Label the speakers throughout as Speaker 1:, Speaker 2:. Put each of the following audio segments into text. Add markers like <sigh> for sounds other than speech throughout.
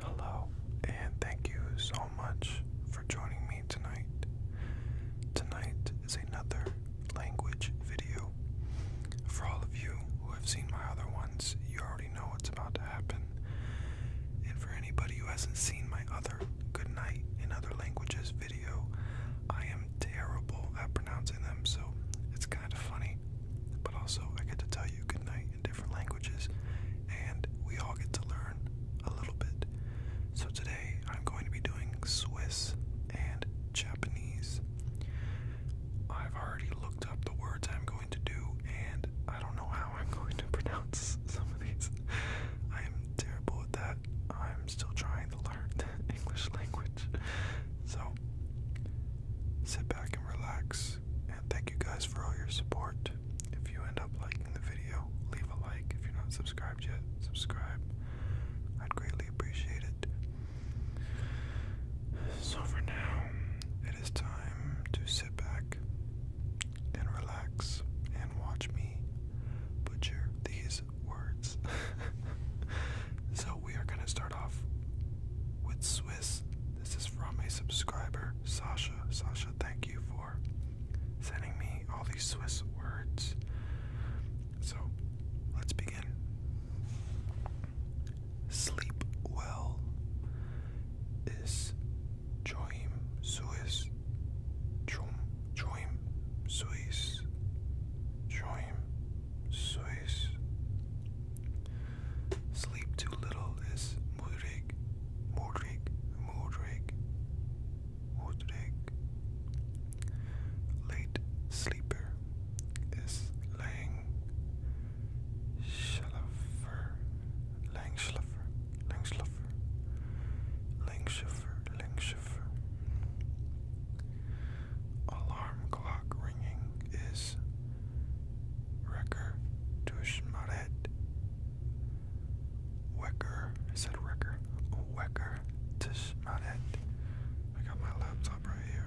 Speaker 1: Hello, and thank you so much for joining me tonight. Tonight is another language video. For all of you who have seen my other ones, you already know what's about to happen. And for anybody who hasn't seen my other Good Night in Other Languages video, I am terrible at pronouncing them, so it's kind of funny. But also, I get to tell you good night different languages, and we all get to learn a little bit. So today I'm going to be doing Swiss and Japanese. I've already looked up the words I'm going to do, and I don't know how I'm <laughs> going to pronounce some of these. I am terrible at that. I'm still trying to learn <laughs> the English language. So, sit back and relax. And thank you guys for all your support. If you end up liking the video, leave a like. If you're not subscribed yet, subscribe. I'd greatly appreciate it. So, for now, it is time to sit back and relax and watch me butcher these words. <laughs> so, we are going to start off with Swiss. This is from a subscriber, Sasha. Sasha, thank you for sending me all these Swiss words. So let's begin. Sleep well is Joim Suis. Joim Joim Suis. Joim Suis. Sleep too little is mudrik, mudrik, mudrik, mudrik. Late sleeper is lang, schlaffer, lang schlaffer, lang schlaffer, lang schlaffer, lang schlaffer. Alarm clock ringing is Recker Tushmaret. Wecker, I said Recker. Wecker Tushmaret. I got my laptop right here.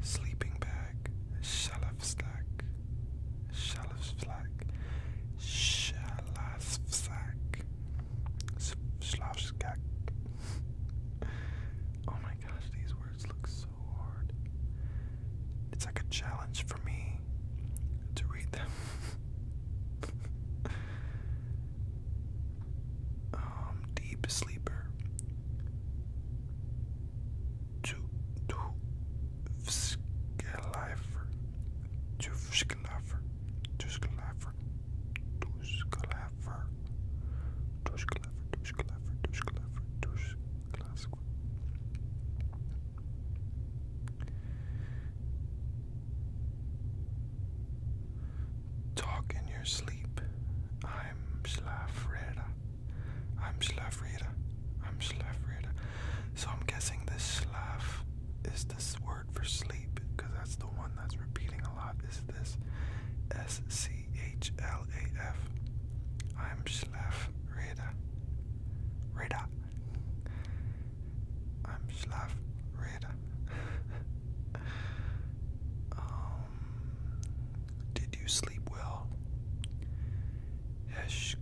Speaker 1: Sleeping bag, shelf stack, Shalavslack, Shalavslack, Slavskak. Oh my gosh, these words look so hard. It's like a challenge for me to read them. <laughs> um, deep sleeper. Tjuvsklaver, Tjuvsklaver, Tjuvsklaver, Tjuvsklaver, Tjuvsklaver, Tjuvsklaver, Tjuvsklaver. Talk in your sleep. I'm Slavreda. I'm Slavreda. I'm Slav Reda. So I'm guessing this Slav is this word for sleep, because that's the one that's repeating a lot. Is this S C H L A F? I'm Slav Reda. I'm Slav <laughs> um, did you sleep well? Yes,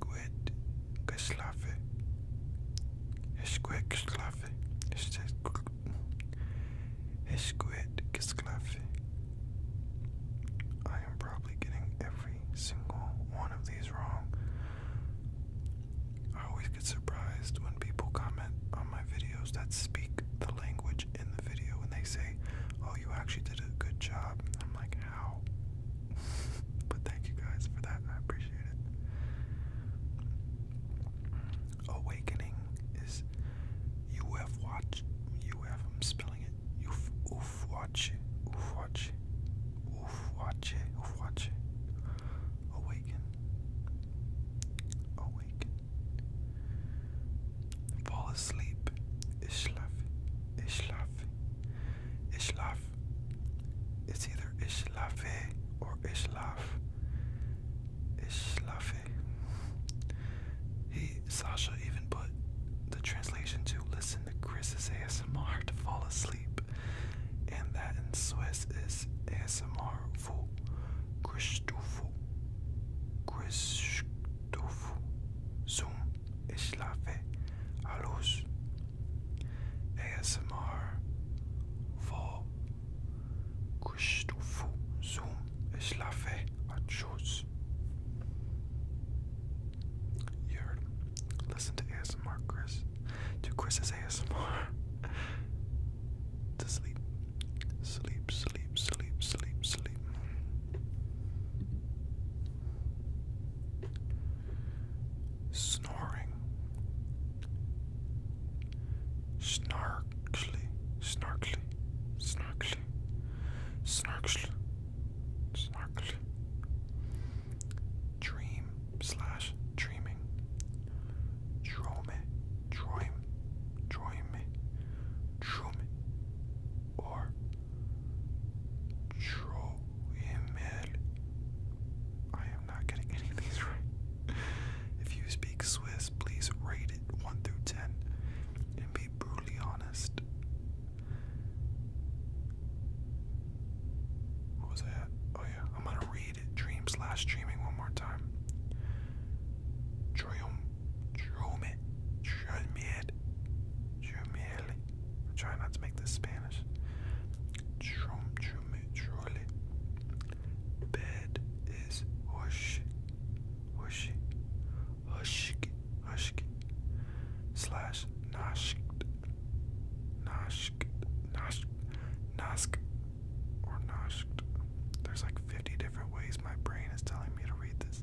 Speaker 1: Keslavy. I am probably getting every single one of these wrong. I always get surprised when people comment on my videos that speak the language in the video and they say, Oh, you actually did a good job. I'm like, <laughs> but thank you guys for that. I appreciate it. Awakening is you have watched. You have. I'm spelling it. You've oof watch. watch. watch. watch. Awaken. Awaken. Fall asleep. Is schlafe. Is schlafe. Ishlaf. It's either islafe or islafe. Ishlafe. He Sasha even put the translation to listen to Chris's ASMR to fall asleep. And that in Swiss is ASMR Chris to Christofu. Zoom. Ishlafe Alus ASMR for Kushtufu Zoom Ishlafe Achus. You heard Listen to ASMR, Chris. To Chris's ASMR. <laughs> to sleep. Sleep, sleep, sleep, sleep, sleep, sleep. Snoring. Snarkly, snarkly, snarkly, snarkly, snarkly. Dream slash dreaming. Drome, droim, droime, drome, or Troemel. I am not getting any of these <laughs> right. If you speak Swiss, please rate it 1 through 10 and be brutally honest. What was that? Oh, yeah. I'm going to read Dream slash streaming one more time. Triumph. Chume, chumiel, chumiel. try not to make this Spanish. Chum, chume, chule. Bed is hush, hushy, hushki, hushki, slash nashk, nashk, nashk, nask, or nashk. There's like 50 different ways my brain is telling me to read this.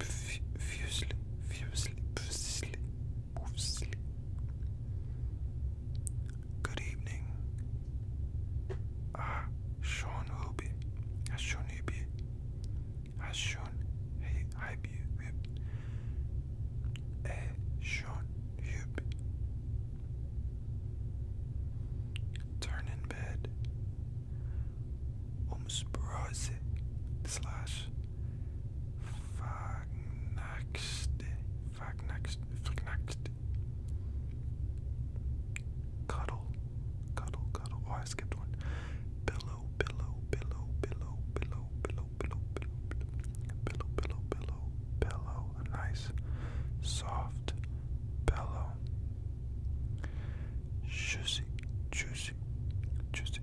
Speaker 1: fusely, fusely, fusely, fusely. Good evening. Ah, Sean Ruby. Ah, Sean Ruby. Ah, Sean. Hey, I be. Eh, Sean Ruby. Turn in bed umsprache slash verknackte, verknackte, verknackte. Cuddle, cuddle, cuddle. Oh, I skipped one. Pillow, pillow, pillow, pillow, pillow, pillow, pillow, pillow, pillow, pillow, pillow, pillow. A nice, soft pillow. Juicy, juicy, juicy,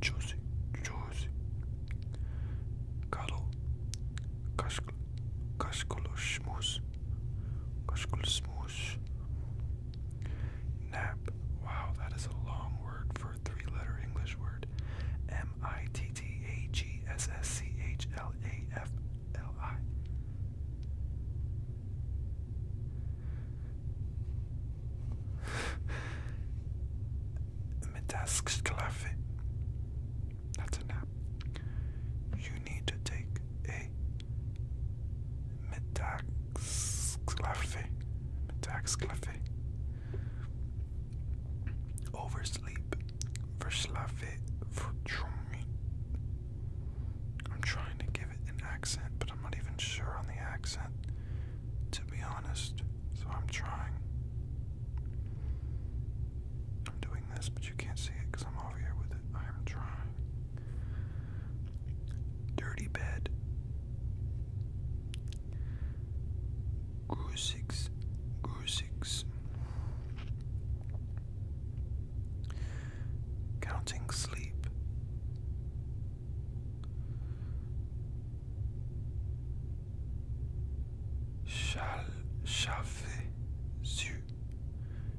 Speaker 1: juicy, juicy. Kalo, kaşkul, kaşkulu şmuz, kaşkulu smoosh. Nap. Wow, that is a long word for a three-letter English word. M I T T A G S S C H L A F L I. Metasklafe. That's a nap. You need to take a metaxclafe. Metaxclafe. Oversleep Verslavit Vutrumi. I'm trying to give it an accent, but I'm not even sure on the accent, to be honest. So I'm trying. I'm doing this, but you can't see it because I'm over here with it. I am trying. Dirty bed. Grusix. Grusix counting sleep.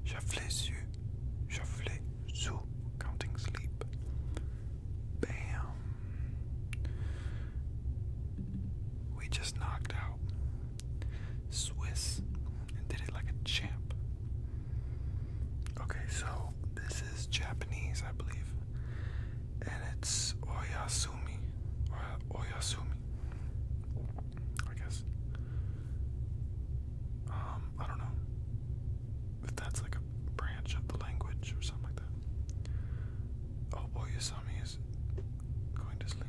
Speaker 1: Chaffler Zoo, Chaffler Zoo, counting sleep. Bam! We just knocked out Swiss and did it like a champ. Okay, so this is Japanese, I believe, and it's Oyasumi. Oyasumi, I guess. Um, I don't know if that's like a branch of the language or something like that. Oh, Oyasumi is going to sleep.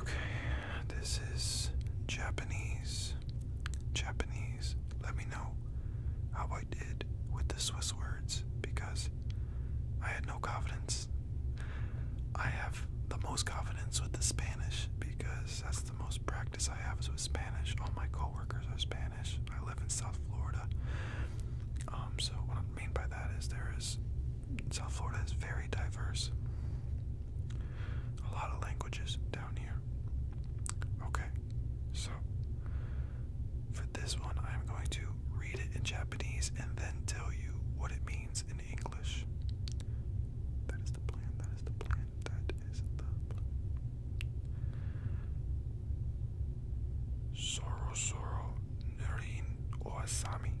Speaker 1: Okay, this is Japanese. Japanese. Let me know how I did with the Swiss words because I had no confidence. I have the most confidence with the Spanish because that's the most practice I have with Spanish. All my coworkers are Spanish. I live in South Florida. Um so I mean by that is there is South Florida is very diverse. A lot of languages down here. Okay, so for this one, I'm going to read it in Japanese and then tell you what it means in English. That is the plan, that is the plan, that is the Soro Soro Nurin Oasami.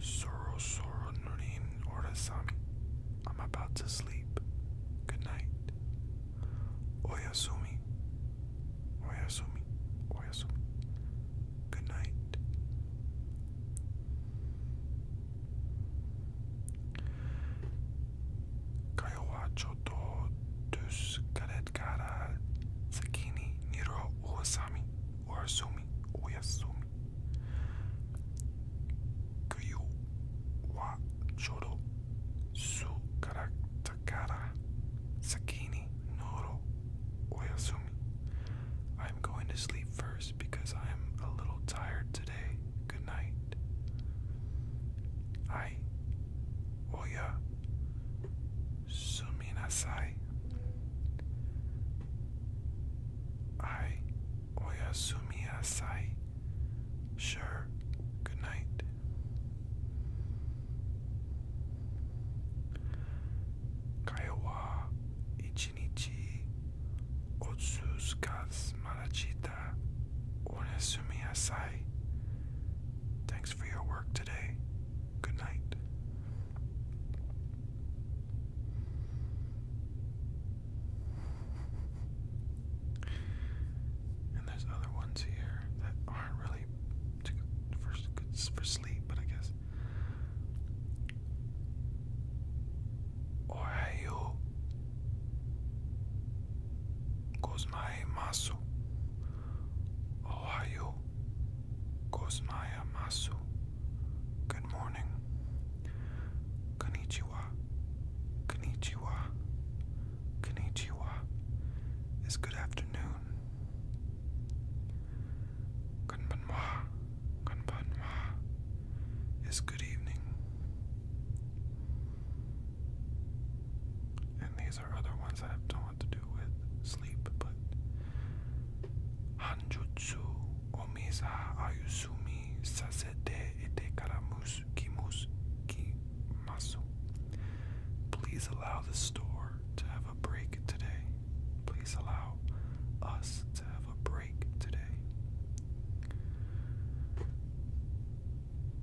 Speaker 1: Soro Soro Nurin Orasami. I'm about to sleep. Good night. Oyasumi. Oyasumi. Oyasumi. Good night. Kaiwa Choto Duskaret Kara Sakini Niro Uwasami Uasumi Uyasumi Kuyu Wa Chodo Su Karatakara Sakini Noro Oyasumi. I'm going to sleep first because I'm a little tired today. Good night. I おやすみなさいはいおやすみなさい Sure good night 会話一日おつすかすまらち Kenta Onesumi Asai. Thanks for your work today. Good night. And there's other ones here that aren't really too good for, sleep, but I guess. Ohayo Gozmaimasu. Ohio. Gozmaimasu. Good morning. Konnichiwa. Konnichiwa. Konnichiwa is good afternoon. Konbanwa. Konbanwa is good evening. And these are other ones I don't want to do with sleep, but Hanjutsu Omisa Ayusumi Sasete Ite Karamus Kimus Kimasu. Please allow the store to have a break today. Please allow us to have a break today.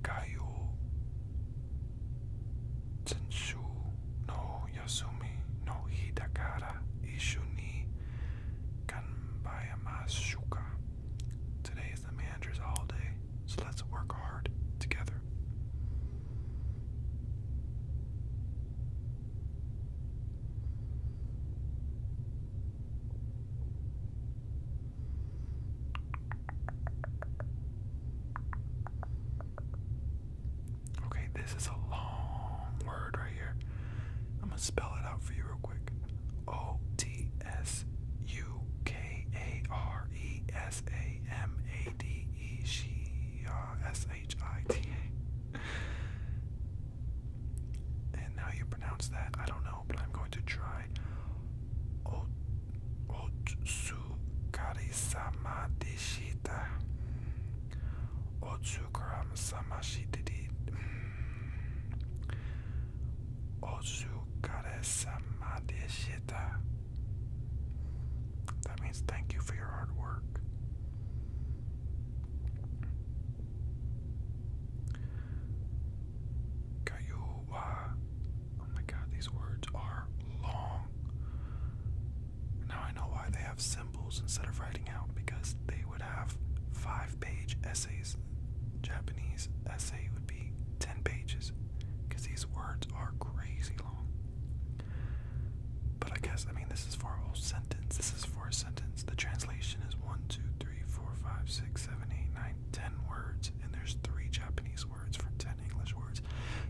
Speaker 1: Kaio Tenshu no Yasumi no Hidakara Ishu ni Kanbayamashuka. Today is the manager's holiday, so let's work hard together. Okay, this is a long word right here. I'm gonna spell it out for you real quick. O T S U K A R E S A M A D E S H I T A and now you pronounce that, I don't know, but I'm going to try Otsukarisama Deshita. Otsukaram Samashitidi. Otsukaresama Deshita. That means thank you for your hard work. Kayuwa. Oh my god, these words are long. Now I know why they have symbols instead of writing out, because they would have five page essays. Japanese essay would be 10 pages, because these words are crazy long. But I guess, I mean, this is for a whole sentence. This is for a sentence. The translation is 1, 2, three, four, five, six, seven, eight, nine, ten words, and there's three Japanese words for ten English words.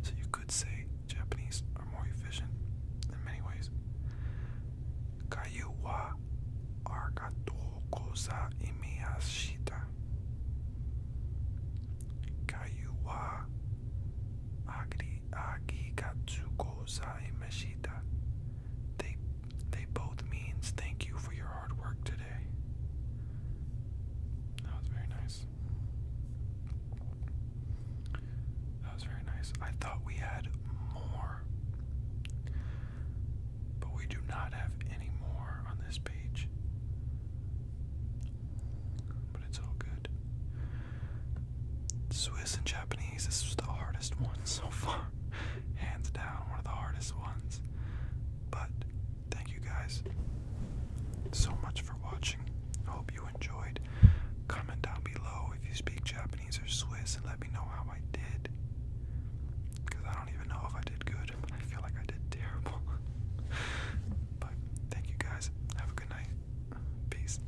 Speaker 1: So you could say Japanese are more efficient in many ways. Kayu wa arigatou gozaimashita. Kayu wa arigatou gozaimashita. They they both means thank you for your hard work today. That was very nice. That was very nice. I thought we had more, but we do not have any more on this page. But it's all good. Swiss and Japanese, this was the hardest one so far hands down one of the hardest ones. But thank you guys so much for watching. I hope you enjoyed. Comment down below if you speak Japanese or Swiss and let me know how I did. Because I don't even know if I did good, I feel like I did terrible. <laughs> but thank you guys. Have a good night. Peace.